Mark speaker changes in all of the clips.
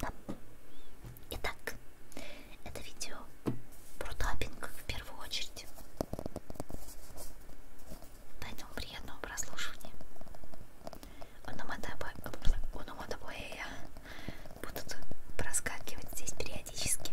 Speaker 1: Да. Итак, это видео про таппинг в первую очередь. Поэтому приятного прослушивания. Ономатопоэя будут проскакивать здесь периодически.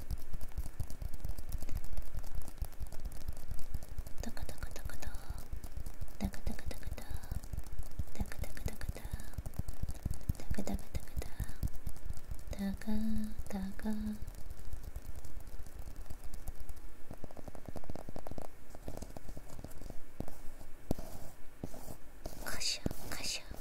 Speaker 1: タカタカタカタタカタカタカタタカタカタカタタカタカタカタタカタカカシャカシャ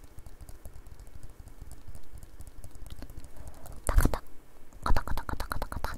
Speaker 1: タカタカタカタカタカタカタ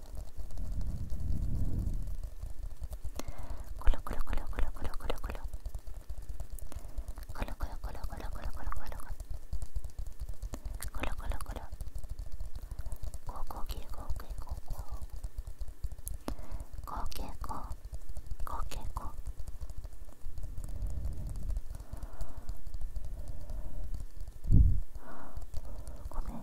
Speaker 2: コロコロコロコロコロコロコロコロコロコロコロコロコロコロコロコロコロ高校敬語敬語高敬語高敬語ごめん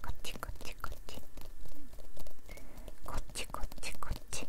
Speaker 2: こっちこっちこっちこっちこっちこっちこ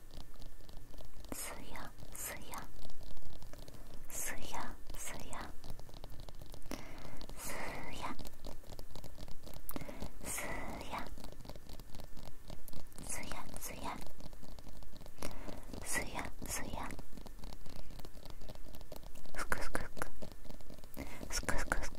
Speaker 2: すやすやすやすやすやすやすやすやす
Speaker 1: やすやすくふくふくふくふくふくふくふくふくふくふくふくふくふく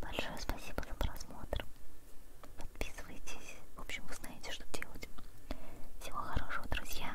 Speaker 1: Большое спасибо за просмотр. Подписывайтесь. В общем, вы знаете, что делать. Всего хорошего, друзья.